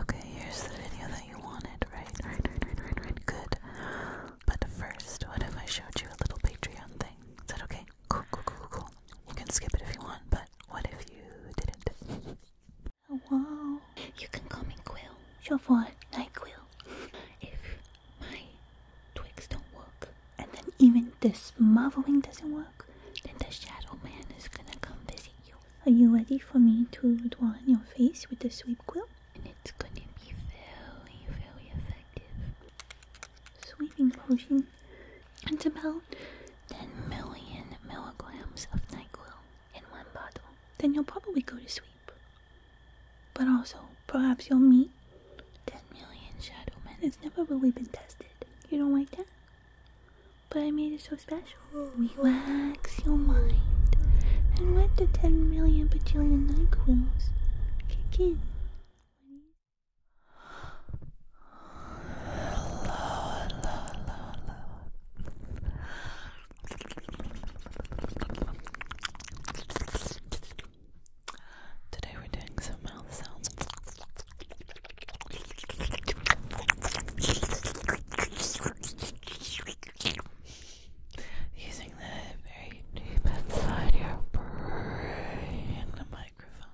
Okay, here's the video that you wanted, right? Right, right, right, right, right. Good. But first, what if I showed you a little Patreon thing? Is that okay? Cool, cool, cool, cool. You can skip it if you want, but what if you didn't? Oh, wow. You can call me Quill. Your what? Night Quill. If my twigs don't work, and then even this marveling doesn't work, then the Shadow Man is gonna come visit you are you ready for me to draw on your face with the sweep quill? And it's going to be very, very effective. Sweeping potion. It's about 10 million milligrams of NyQuil in one bottle. Then you'll probably go to sleep. But also, perhaps you'll meet 10 million shadow men. It's never really been tested. You don't like that? But I made it so special. We wax your mind and let the 10 million bajillion NyQuil's kick in. Hello, hello, hello, hello. Today we're doing some mouth sounds using the very deep inside your brain the microphone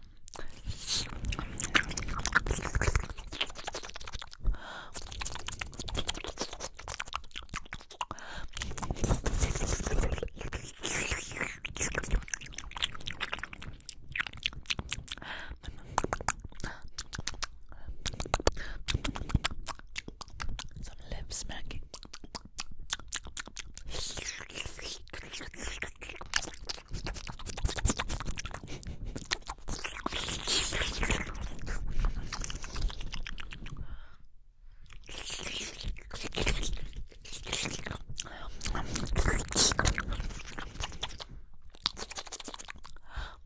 some lip smacking.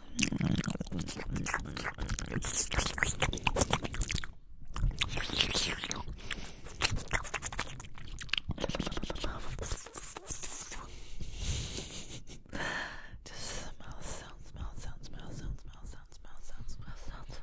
Just smell, sound, smell, sound, smell, sound, smell, sound, smell, sound, smell, sound, smell, sound.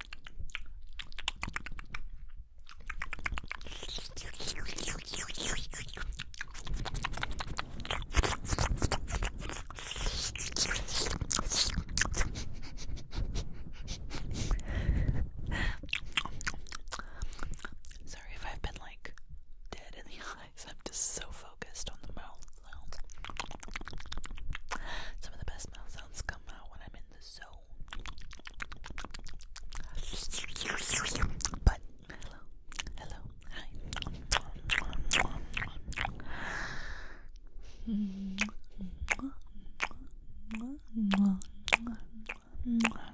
Sorry if I've been like dead in the eyes. I'm just so focused on the mouth sounds. Some of the best mouth sounds come out when I'm in the zone. But hello, hello, hi.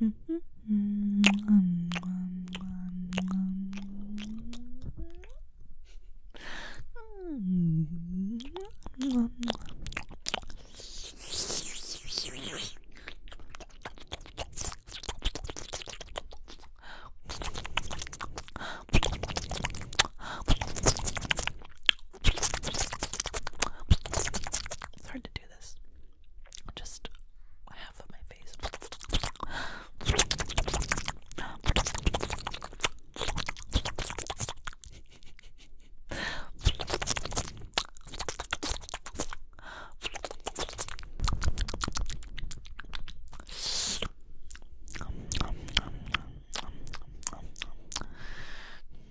It's hard to do this. Just half of my face.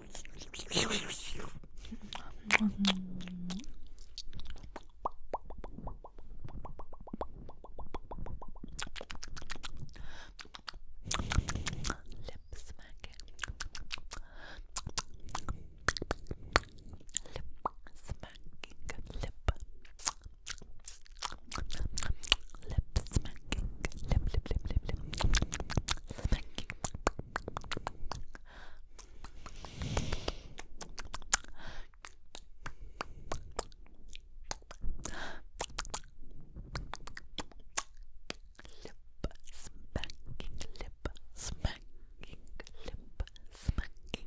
Lip smacking. Lip smacking. Lip. Lip smacking. Lip lip lip lip lip. Smacking. Lip smacking, lip smacking, lip smacking.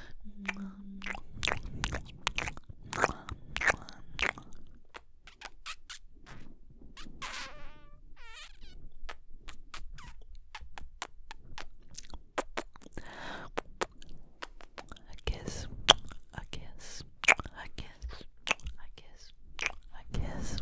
A kiss, a kiss, a kiss, a kiss, a kiss.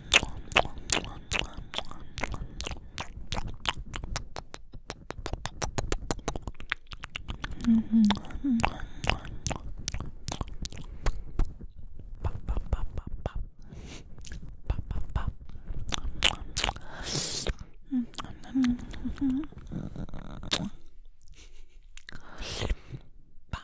Bow.